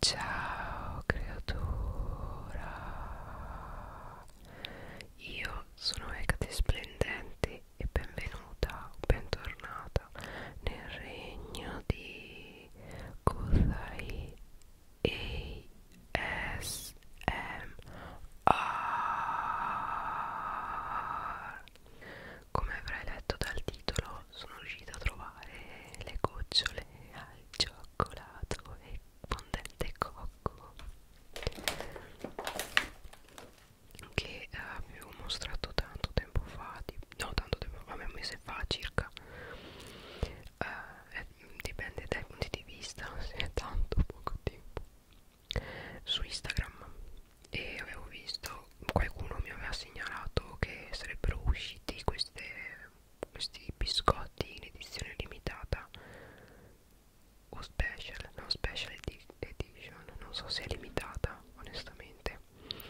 Ciao creatura, io sono Ecate Splendente e benvenuta o bentornata nel regno di Kuzai ASMR. Come avrai letto dal capitolo sono riuscita a trovare le gocciole al cioccolato e fondente cocco che eh, avevo mostrato tanto tempo fa di, no tanto tempo fa, un mese fa circa eh, eh, dipende dai punti di vista se è tanto poco tempo su Instagram e avevo visto qualcuno mi aveva segnalato che sarebbero usciti queste, questi biscotti in edizione limitata o special, no special edition, non so se è limitata onestamente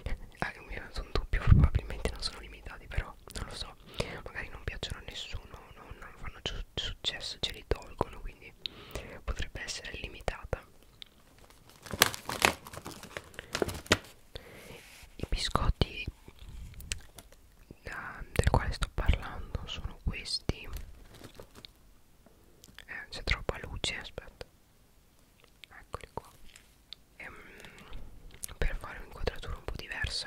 ah, sono dubbio, probabilmente non sono limitati però non lo so, magari non piacciono a nessuno, non, non fanno successo, ce li tolgono quindi potrebbe essere limitata i biscotti da, eh, del quale sto parlando sono questi eh, c'è troppa luce aspetta eccoli qua e, ehm, per fare un'inquadratura un po' diversa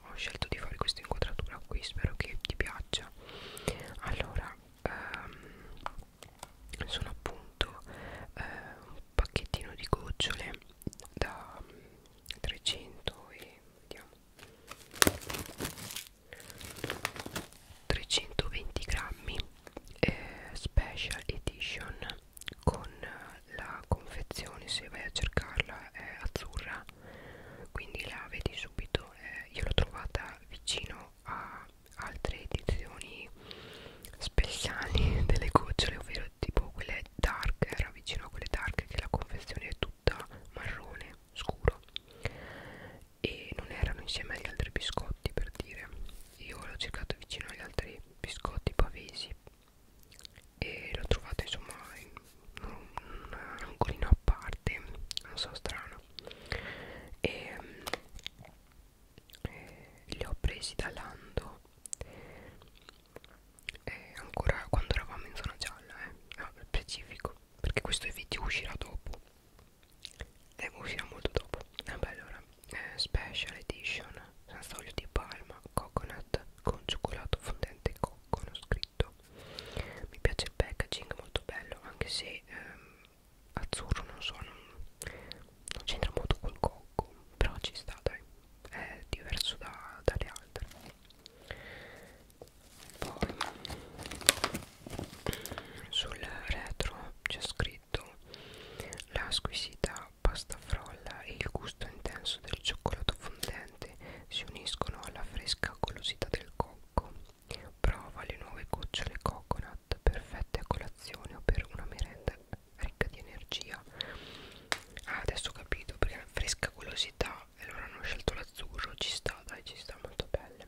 ho scelto di fare questa inquadratura qui spero che ti piaccia allora ehm, sono appunto eh, pacchettino di gocciole da 300 mm, e vediamo 320 grammi eh, special edition con eh, la confezione se vai a cercarla è azzurra quindi la vedi subito eh, io l'ho trovata vicino a altre edizioni speciali delle gocciole ovvero tipo quelle dark era vicino a quelle dark che la confezione è tutta marrone scuro e non erano insieme agli altri biscotti per dire io l'ho cercato vicino agli altri biscotti pavesi e l'ho trovato insomma in un, un angolino a parte non so strano e eh, li ho presi da Lando eh, ancora quando eravamo in zona gialla eh, ah, specifico perché questo video uscirà dopo e eh, uscirà molto dopo vabbè eh, allora eh, special edition senza olio di palma coconut con cioccolato fondente e cocco scritto mi piace il packaging molto bello anche se ehm, azzurro non so non, non c'entra molto col cocco però ci sta dai è diverso da, dalle altre poi sul retro c'è scritto la squisita pasta frolla e il gusto intenso del cioccolato fondente si uniscono alla fresca golosità del cocco prova le nuove gocciole coconut perfette con la colazione o per una merenda ricca di energia ah, adesso ho capito perché è una fresca golosità e allora hanno scelto l'azzurro ci sta dai ci sta molto belle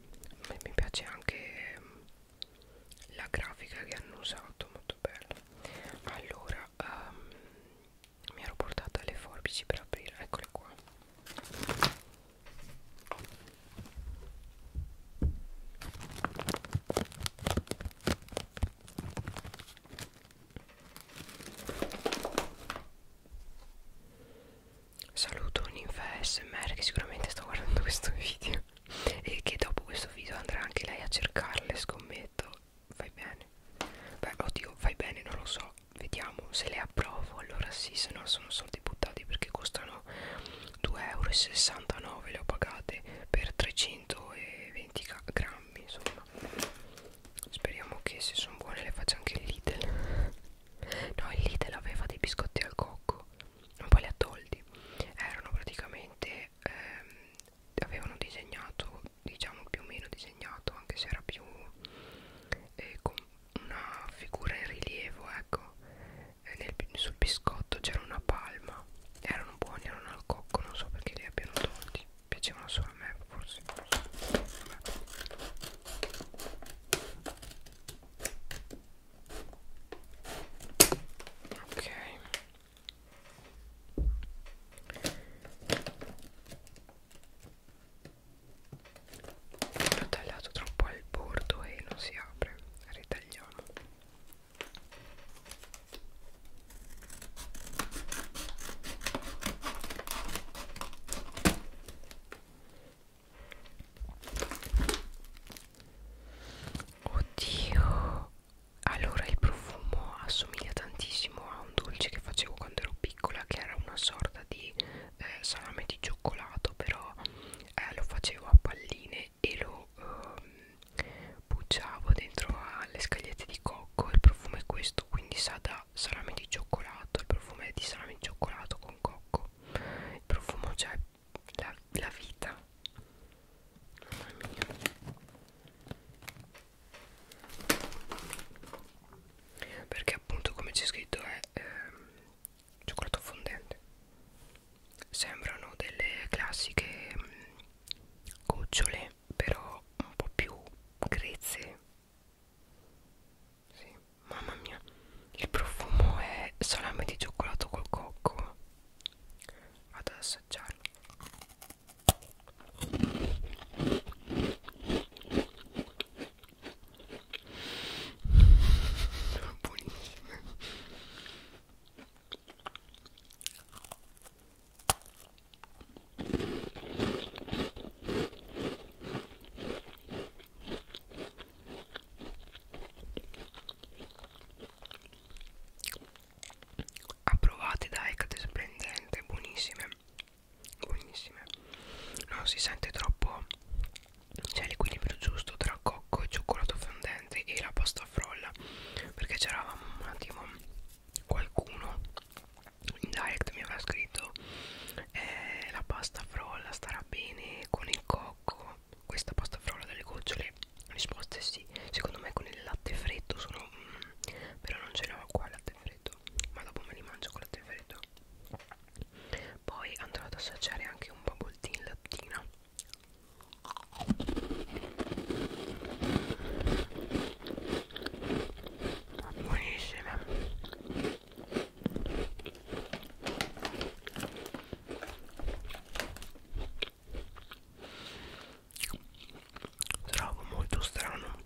mi piace anche mm, la grafica che hanno usato molto bella allora um, mi ero portata le forbici per aprire eccola qua Saluto un'infa smr che sicuramente sta guardando questo video e che dopo questo video andrà anche lei a cercarle, scommetto. Fai bene. Beh, oddio, fai bene, non lo so. Vediamo se le approvo. Allora sì, se no sono soldi buttati perché costano euro 2,69 euro le ho pagate per 320 grammi insomma speriamo che se sono buone le faccia anche il Lidl no il Lidl aveva dei biscotti al cocco non poi li ha tolti erano praticamente ehm, avevano disegnato diciamo più o meno disegnato anche se era più eh, con una figura in rilievo ecco nel, sul biscotto c'era una palma erano buoni erano al cocco non so perché li abbiano tolti piacevano solo a me forse ok l'ho tagliato troppo al bordo e non si apre ritagliamo oddio allora il profumo assomiglia tantissimo a un dolce che facevo quando ero piccola che era una sorta di eh, salame di cioccolato però eh, lo facevo a palline e lo ehm, bucciavo dentro alle scagliette di cocco il profumo è questo quindi sa da salame di cioccolato il profumo è di salame di cioccolato con cocco il profumo c'è cioè, la, la vita mamma mia perché appunto come c'è scritto è ehm, cioccolato fondente sembrano delle classiche gocciole mm, però un po' più grezze sì, mamma mia il profumo è salame di cioccolato col cocco vado ad assaggiarlo sono buonissime approvate da Hecate Splendente buonissime buonissime non si sente troppo c'è l'equilibrio giusto tra cocco e cioccolato fondente e la pasta frolla perché c'era un attimo qualcuno in direct mi aveva scritto eh, la pasta frolla starà bene con il cocco questa pasta frolla delle gocciole la risposta è sì secondo me con il latte freddo sono mm, però non ce l'ho qua il latte freddo ma dopo me li mangio con il latte freddo poi andrò ad assaggiare anche un bubble tea in lattina buonissime trovo molto strano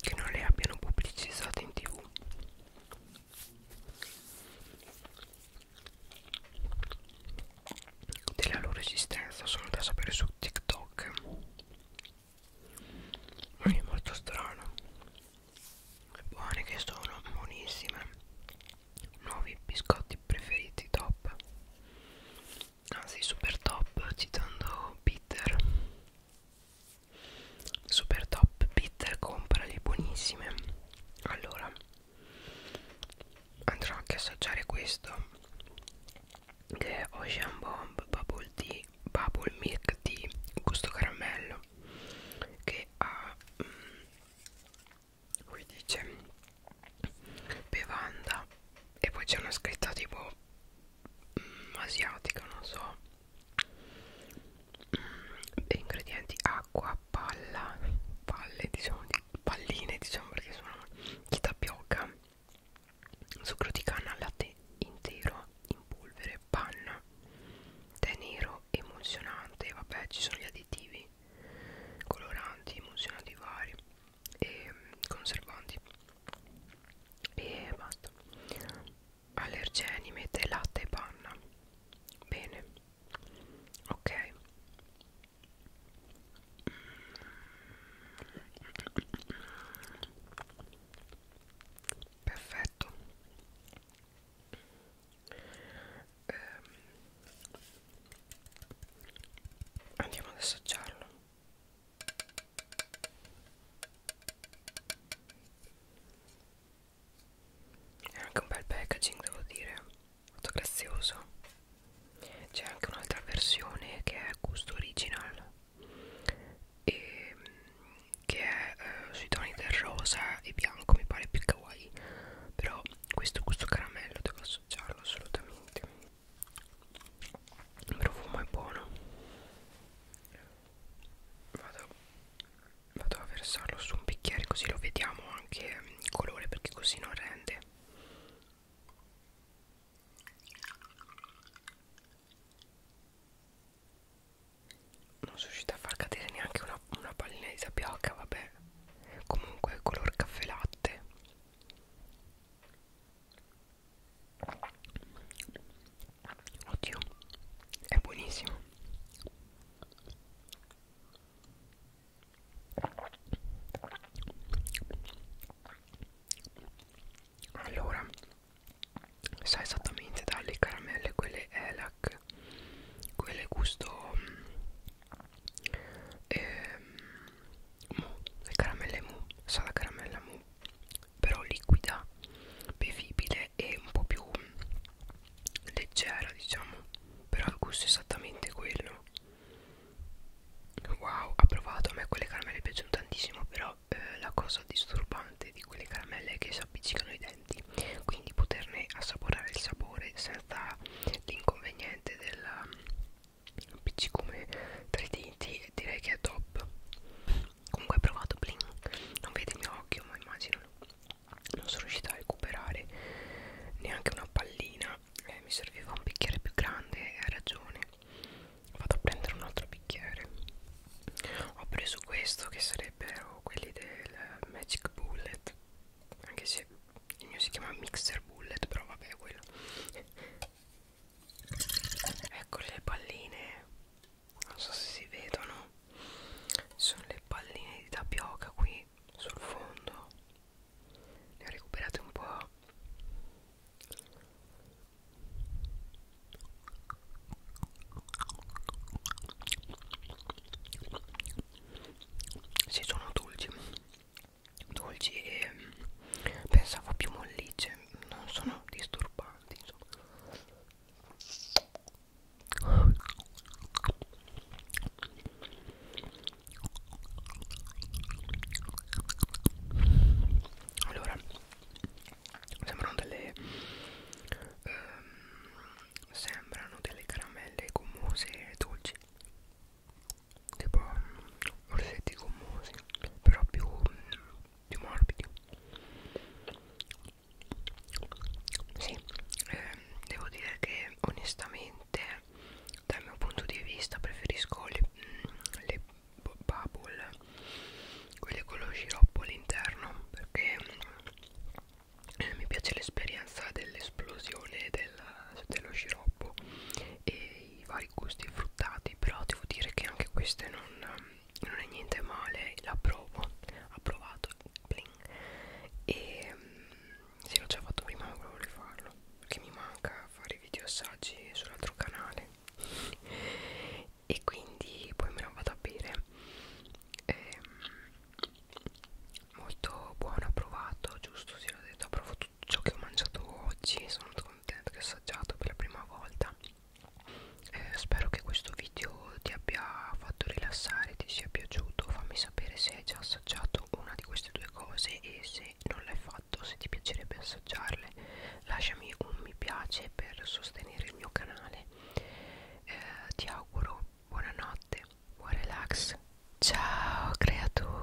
che non le abbiano pubblicizzate in tv della loro esistenza solo da sapere su TikTok è molto strano e buone che sono buonissime nuovi biscotti preferiti top anzi super top citando Peter Super top bitter comprali buonissime Allora Andrò anche a assaggiare questo Che è Ocean Bomb Bubble Tea Bubble Milk Tea Gusto caramello Che ha Qui mm, dice Bevanda E poi c'è una scritta tipo mm, asiatica non so degli ingredienti acqua, palla, palle diciamo, di, palline diciamo perché sono di tapioca, sucro di canna, latte intero in polvere, panna, tè nero, emulsionante, vabbè ci sono gli additivi, coloranti, emulsionanti vari e conservanti e basta allergeni mette latte e panna bene ok perfetto ehm, andiamo ad assaggiarlo è anche un bel packaging devo dire molto grazioso c'è anche un'altra versione che è gusto original e che è eh, sui toni del rosa e bianco mi pare più kawaii però questo gusto caramello devo associarlo assolutamente il profumo è buono vado, vado a versarlo su un bicchiere così lo vediamo anche mm, il colore perché così non rende non sono riuscita a far cadere neanche una, una pallina di tapioca vabbè comunque color caffè latte Oddio, è buonissimo. Allora, sa esattamente dalle caramelle quelle ELAC, quelle gusto ehm, mu, le caramelle mu, sa la caramella mu però liquida bevibile e un po' più leggera diciamo però il gusto è esattamente quello wow ha provato a me quelle caramelle piacciono tantissimo però eh, la cosa disturbante di quelle caramelle è che si appiccicano i denti quindi poterne assaporare il sapore senza l'inconveniente del mm, appiccicume tra i denti direi che è top comunque ho provato bling non vede il mio occhio ma immagino non sono riuscita a recuperare neanche una pallina eh, mi serviva un bicchiere più grande e ha ragione vado a prendere un altro bicchiere ho preso questo che sarebbero oh, quelli del magic bullet anche se il mio si chiama mixer bullet però vabbè quello ecco le palline non so se si vedono sono le palline di tapioca qui sul fondo ne ho recuperate un po' si sono dolci dolci e mm, pensavo più mollicce non sono disturbata avanti insomma allora sembrano delle ehm, sembrano delle caramelle gommose dolci tipo mm, orsetti gommosi però più mm, più morbidi sì, eh, devo dire che onestamente dal mio punto di vista preferisco le, mm, le bubble quelle con lo sciroppo all'interno perché eh, mi piace l'esperienza dell'esplosione del, dello sciroppo e dei vari gusti fruttati però devo dire che anche queste non, non è niente male la provo ho provato bling. e mm, sì l'ho già fatto prima ma volevo rifarlo perché mi manca fare video assaggi sull'altro canale e quindi poi me la vado a bere eh, molto buono, provato, giusto, si sì, l'ho detto, ho provato tutto ciò che ho mangiato oggi sono contenta che ho assaggiato per la prima volta eh, spero che questo video ti abbia fatto rilassare ti sia piaciuto fammi sapere se hai già assaggiato una di queste due cose e se non l'hai fatto se ti piacerebbe assaggiarle lasciami un mi piace per sostenere il mio canale eh, ti auguro buonanotte buon relax ciao creatura